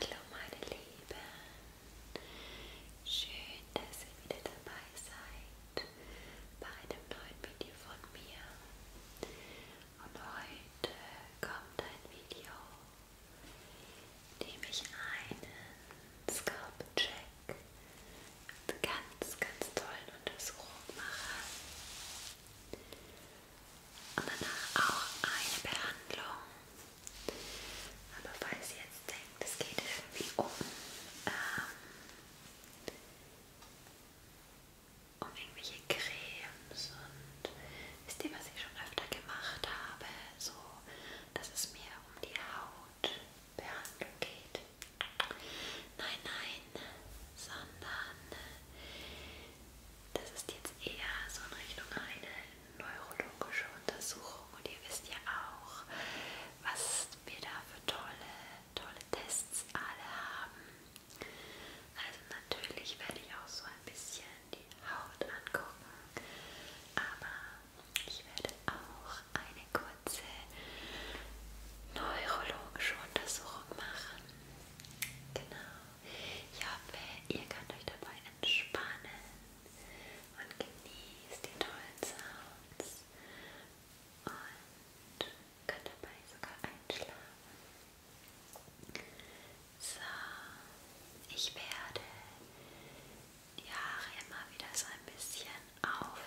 Hallo meine Lieben, schön, dass ihr wieder dabei seid bei einem neuen Video von mir. Und heute kommt ein Video, in dem ich einen Scalp-Check mit ganz, ganz tollen Untersuchungen mache und danach auch eine Behandlung. Aber falls ihr jetzt denkt, es geht irgendwie um, ähm, um irgendwelche Cremes und wisst ihr, was ich schon öfter gemacht habe, so dass es mir um die Hautbehandlung geht. Nein, nein, sondern äh, das ist jetzt eher so in Richtung eine neurologische Untersuchung und ihr wisst ja auch, was wir da für tolle, tolle Tests alle haben. Also natürlich werde ich auch so ein bisschen die Haut angucken, aber ich werde auch eine kurze neurologische Untersuchung machen. Genau. Ich hoffe, ihr könnt euch dabei entspannen und genießt den tollen Sound und kann dabei sogar einschlafen. So, ich werde die Haare immer wieder so ein bisschen aufteilen,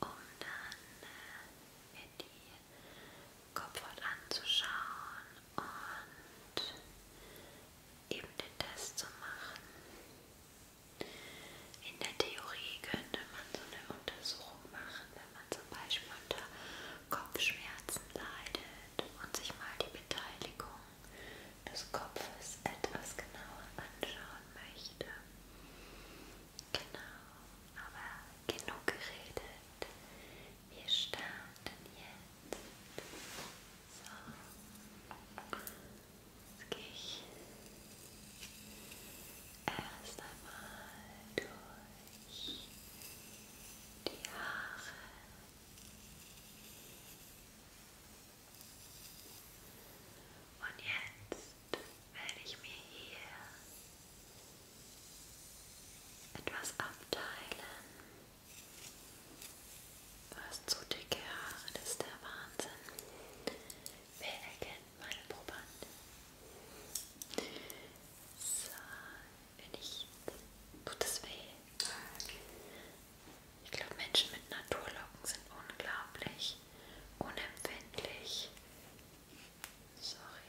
um dann äh, in die Kopfhaut anzuschauen und eben den Test zu machen. In der Theorie könnte man so eine Untersuchung machen, wenn man zum Beispiel unter Kopfschmerzen leidet und sich mal die Beteiligung des Kopfes etwas genauer anschauen möchte. Genau, aber genug geredet. Wir starten jetzt. So. Jetzt gehe ich erst einmal durch die Haare. Und jetzt werde ich mir hier etwas abteilen. Du hast so dicke Haare, das ist der Wahnsinn. Wer erkennt meine Probanden? So, wenn ich. Tut es weh? Ich glaube, Menschen mit Naturlocken sind unglaublich unempfindlich. Sorry.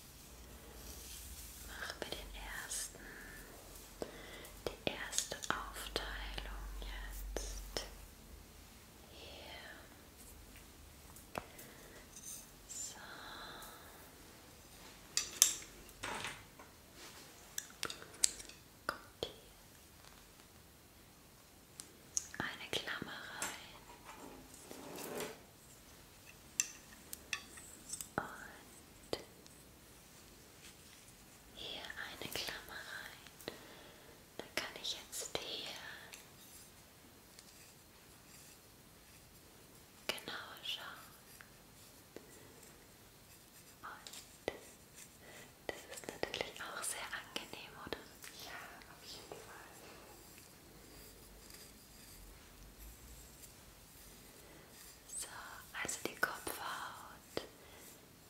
Machen wir den ersten, die erste Aufteilung jetzt hier. So. Kommt hier. Eine Klammer rein und hier eine Klammer rein. Dann kann ich jetzt hier genauer schauen. Und das ist natürlich auch sehr angenehm, oder? Ja, auf jeden Fall. So, also die Kopfhaut,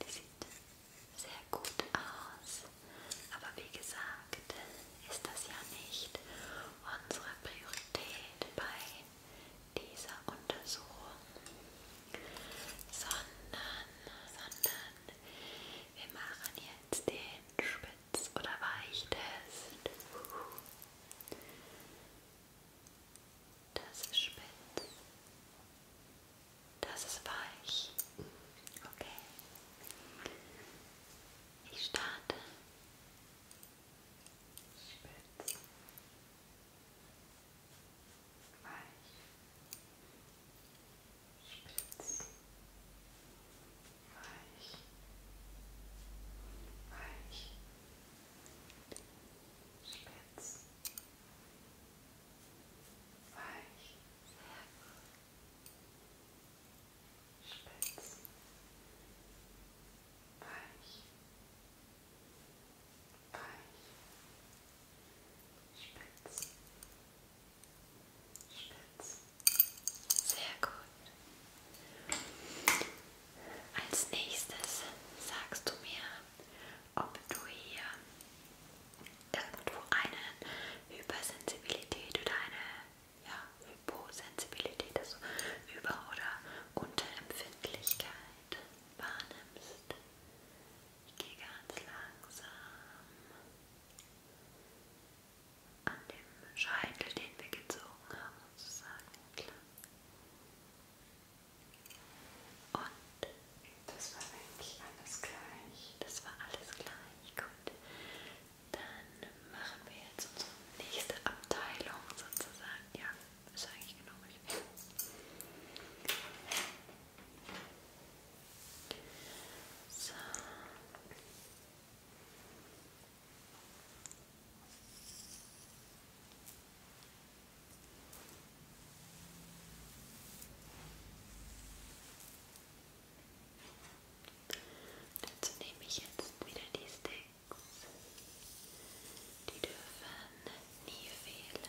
die sieht sehr gut aus, aber wie gesagt, ist das ja nicht unsere Priorität bei dieser Untersuchung, sondern, sondern wir machen jetzt den Spitz- oder Weichtest. Das ist spitz. Das ist weich. Okay. Ich starte. Spitz. Weich. Spitz. Weich. Weich. Weich. Spitz. Weich. Sehr gut. Spitz. Weich. Weich. Spitz. Spitz. Sehr gut. Als nächstes sagst du mir, ob du hier irgendwo eine Hypersensibilität oder eine ja, Hyposensibilität, also Über- oder Unterempfindlichkeit wahrnimmst. Ich gehe ganz langsam an dem Scheitel, den wir gezogen haben, sozusagen entlang. Und das war eigentlich alles gleich. Das war alles gleich. Gut. Dann machen wir jetzt unsere nächste Abteilung sozusagen. Ja, ist eigentlich genau richtig. So. Dazu nehme ich jetzt wieder die Sticks. Die dürfen nie fehlen. Und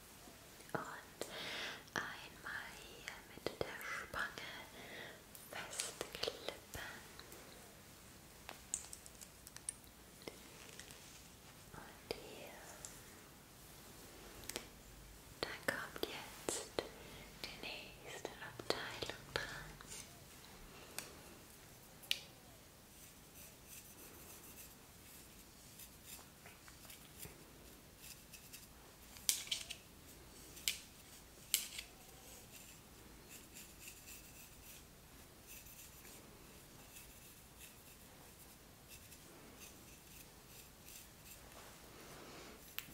Und einmal hier mit der Spange festklippen. Und hier. Dann kommt jetzt die nächste Abteilung dran. Und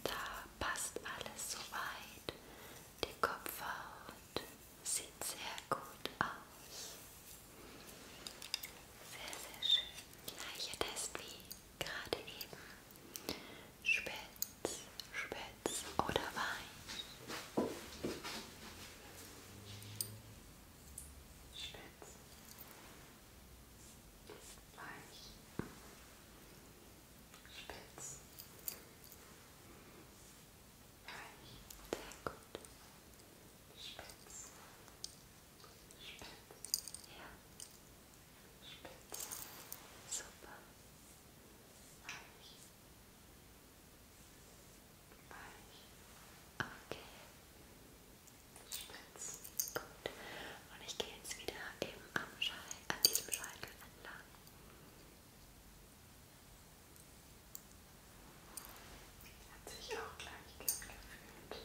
da passt alles soweit. Die Kopfhaut sieht sehr gut aus. Sehr, sehr schön. Gleicher Test wie gerade eben spitz, spitz oder weich? Spitz, weich, spitz, weich, sehr gut, spitz, spitz, ja. Sehr gut. Spitze, Suppe, Weich, Weich, okay, Spitz, gut. Und ich gehe jetzt wieder eben am Schei an diesem Scheitel entlang. Hat sich auch gleich gut gefühlt.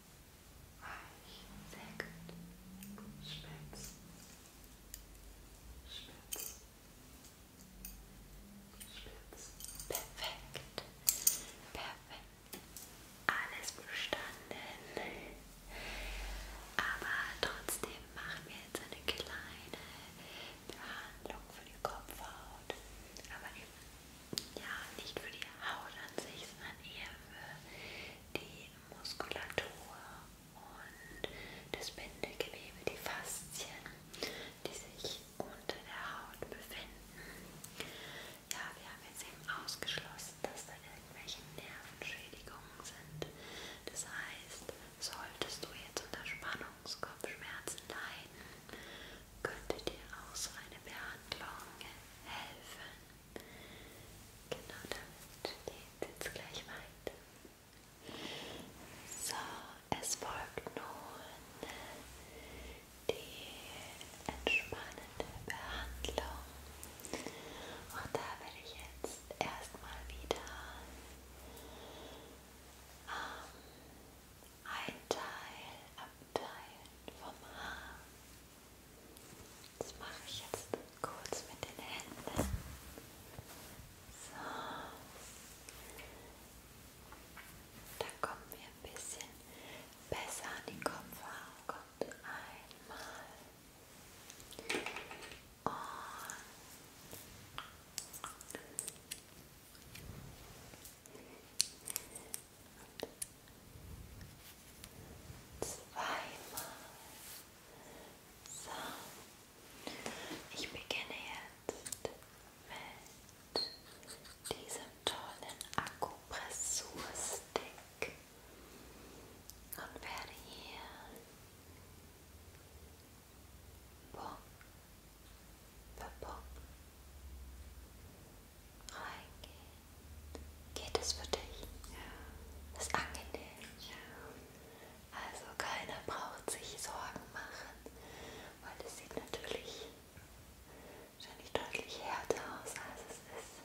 weich, sehr gut, spitz, spitz, spitz, perfekt, perfekt, alles bestanden, aber trotzdem machen wir jetzt eine kleine Behandlung für die Kopfhaut, aber eben ja, nicht für die Haut an sich, sondern eher für die Muskulatur und das Bindegewebe, die Faszien, die sich unter der Haut befinden. Ja, wir haben jetzt eben ausgeschlossen, dass da irgendwelche Nervenschädigungen sind. Das heißt, solltest du jetzt unter Spannungskopfschmerzen leiden, könnte dir auch so eine Behandlung helfen. Genau, damit geht es jetzt gleich weiter. So, es folgt nun die entspannende Behandlung. Und da werde ich jetzt erstmal wieder ähm, ein Teil abteilen vom Haar. Das mache ich jetzt kurz mit den Händen. So. Da kommen wir ein bisschen besser an die Kopfhaut. Kommt einmal. Und zweimal. So, ich beginne jetzt mit diesem tollen Akupressurstick und werde hier Punkt für Punkt reingehen. Geht es für dich? Ja. Ist angenehm. Ja. Also keiner braucht sich Sorgen machen, weil es sieht natürlich wahrscheinlich deutlich härter aus, als es ist.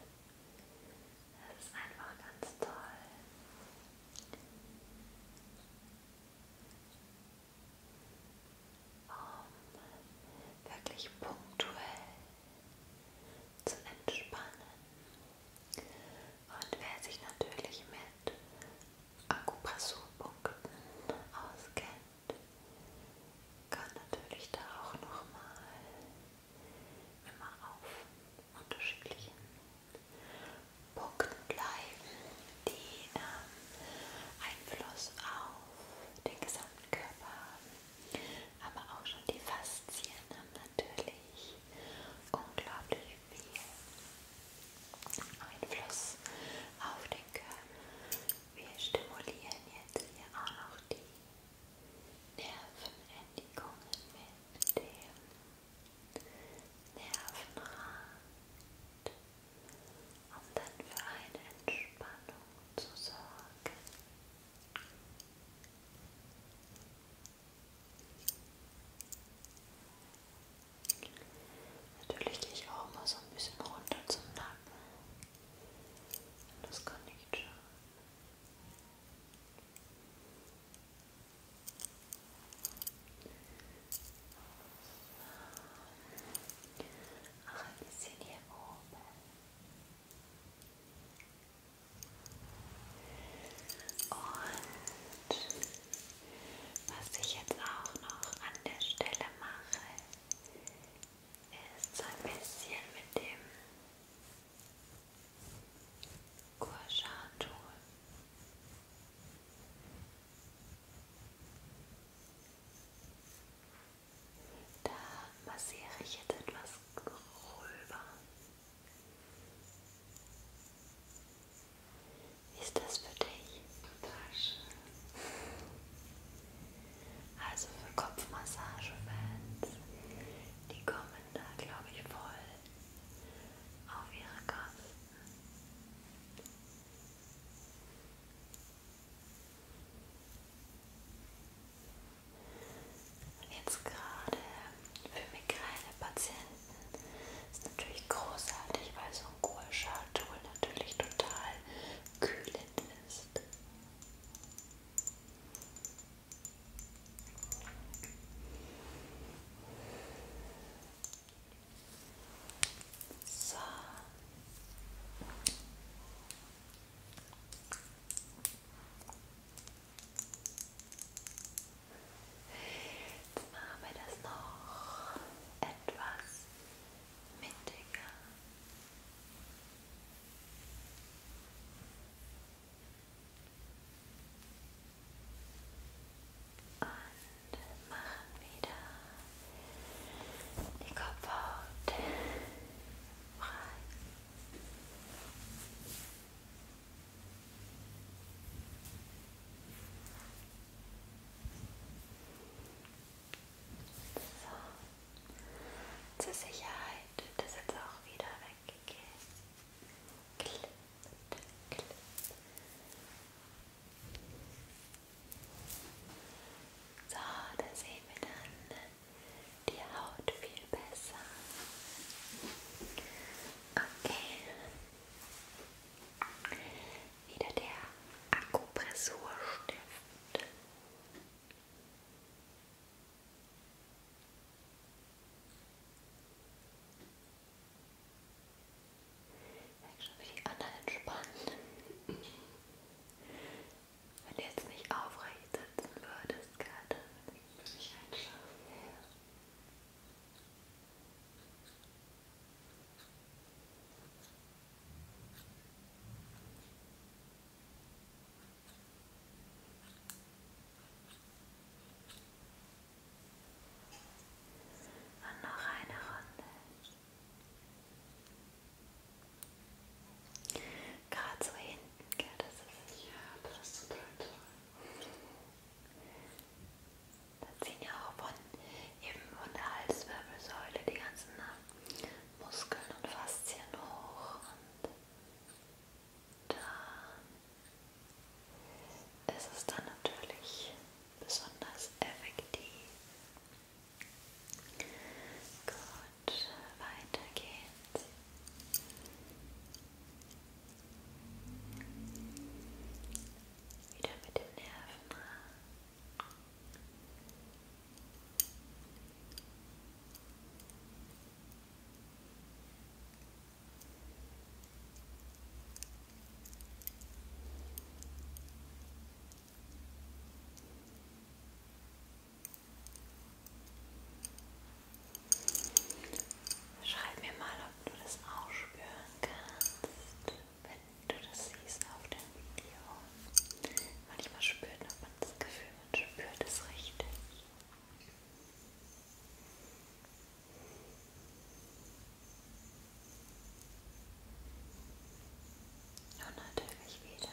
Das ist einfach ganz toll um wirklich punktuell zu entspannen. Und wer sich natürlich mit Akupressurpunkten auskennt, kann natürlich da auch nochmal immer auf unterschiedlichen Punkten bleiben, die ähm, Einfluss auf den gesamten Körper haben. Aber auch schon die Faszien haben natürlich unglaublich viel Einfluss auf den Körper. Wir stimulieren jetzt hier auch noch die Nervenendigungen mit dem Nervenrad, um dann für eine Entspannung zu sorgen. Natürlich gehe ich auch mal so ein bisschen runter zum Nacken. Das kann nicht schaden. Ach, ein bisschen hier oben. Und was ich jetzt auch noch an der Stelle mache, ist so ein bisschen mit dem Kurschatul. Und da massiere ich jetzt etwas gröber. Wie ist das für dich? Tasche. Also für Kopfmassagefans, die kommen da, glaube ich, voll auf ihre Kosten. Und jetzt gerade für Migräne-Patienten ist natürlich großartig, weil so ein Kohlschartol natürlich total kühlend ist. So. Jetzt machen wir das noch etwas mittiger. Und machen wieder die Kopfhaut frei. So. Zur Sicherheit wird das jetzt auch wieder weggehen. Klipp, klipp. So, da sehen wir dann die Haut viel besser. Okay. Wieder der Akupressurstift. Schon wie die anderen entspannen. Wenn du jetzt nicht aufrecht sitzen würdest gerade, würde ich einschlafen. Ja. Und noch eine Runde. Gerade so hinten, gell, das ist es. Ja, das ist total toll. Da ziehen ja auch von, eben von der Halswirbelsäule die ganzen ne, Muskeln und Faszien hoch und da ist es dann natürlich besonders effektiv. Gut, weiter geht's. Wieder mit dem Nervenrad. Ne? Schreib mir mal, ob du das auch spüren kannst, wenn du das siehst auf dem Video. Manchmal spürt man das Gefühl, man spürt es richtig. Und natürlich wieder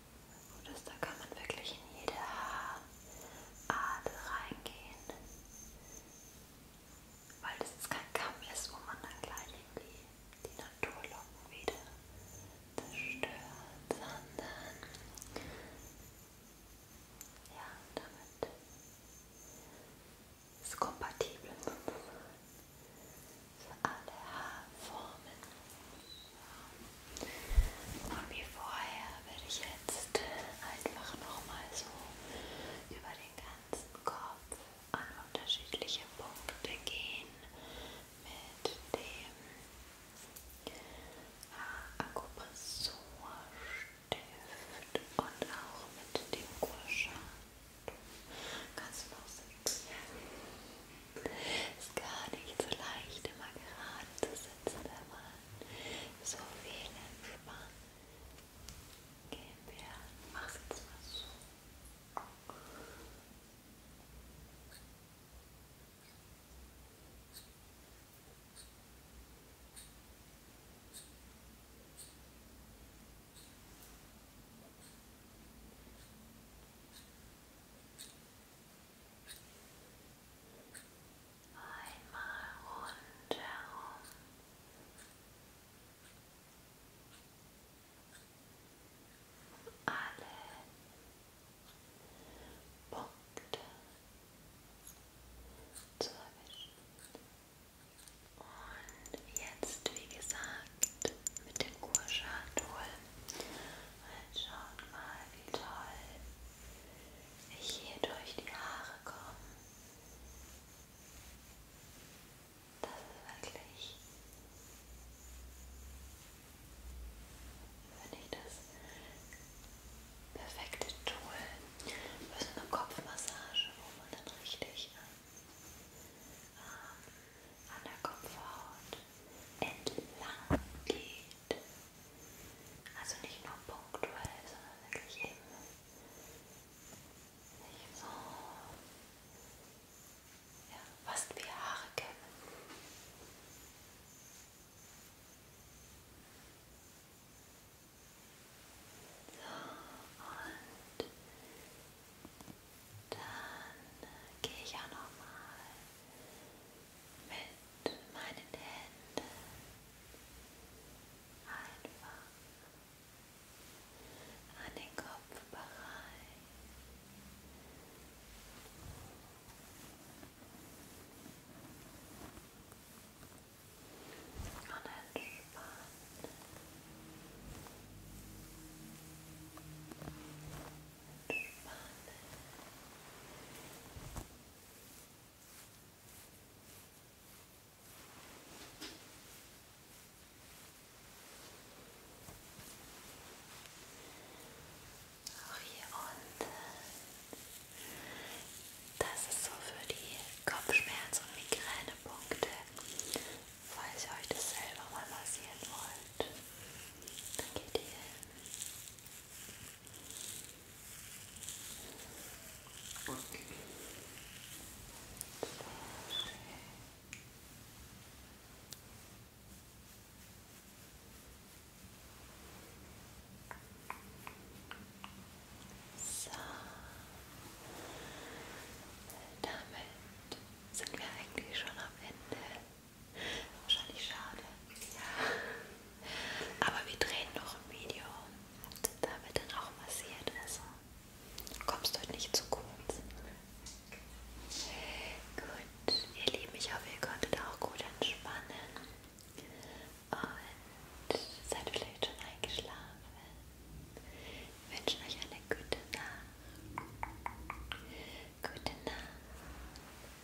Das, da kann man wirklich in jede Haarart reingehen, weil das jetzt kein Kamm ist, wo man dann gleich irgendwie die Naturlocken wieder zerstört, sondern ja, damit ist kompatibel für alle Haarformen. Und wie vorher werde ich jetzt einfach nochmal so über den ganzen Kopf an unterschiedliche Punkte gehen mit dem äh, Akupressurstift und auch mit dem Kurschaft. Kannst du noch sitzen? Ja. Ist gar nicht so leicht, immer gerade zu sitzen, wenn man so viel entspannt. Gehen wir, mach's jetzt mal so. Jetzt Einmal rundherum. Alle Punkte zu erwischen. Und jetzt, wie gesagt, mit dem Kurschatul. Schaut mal, wie toll hier durch die Haare kommen. Das ist wirklich, finde ich, das perfekte Tool für so eine Kopfmassage, wo man dann richtig ähm, an der Kopfhaut entlang geht. Also nicht nur punktuell, sondern wirklich eben nicht so ja, fast wie Haare kämmen. So, und dann gehe ich ja nochmal mit meinen Händen einfach an den Kopfbereich. Und entspannt. Entspanne Auch hier unten. Das ist so für die Kopfschmerz- und Migränepunkte, falls ihr euch das selber mal massieren wollt. Dann geht ihr hin. Okay. So, damit sind wir eigentlich schon am Ende Wahrscheinlich schade. Ja. Aber wir drehen noch ein Video, da wird dann auch massiert. Also kommst du heute nicht zu kurz. Gut, ihr Lieben, ich hoffe, ihr konntet auch gut entspannen. Und seid vielleicht schon eingeschlafen. Wir wünschen euch eine gute Nacht. Gute Nacht.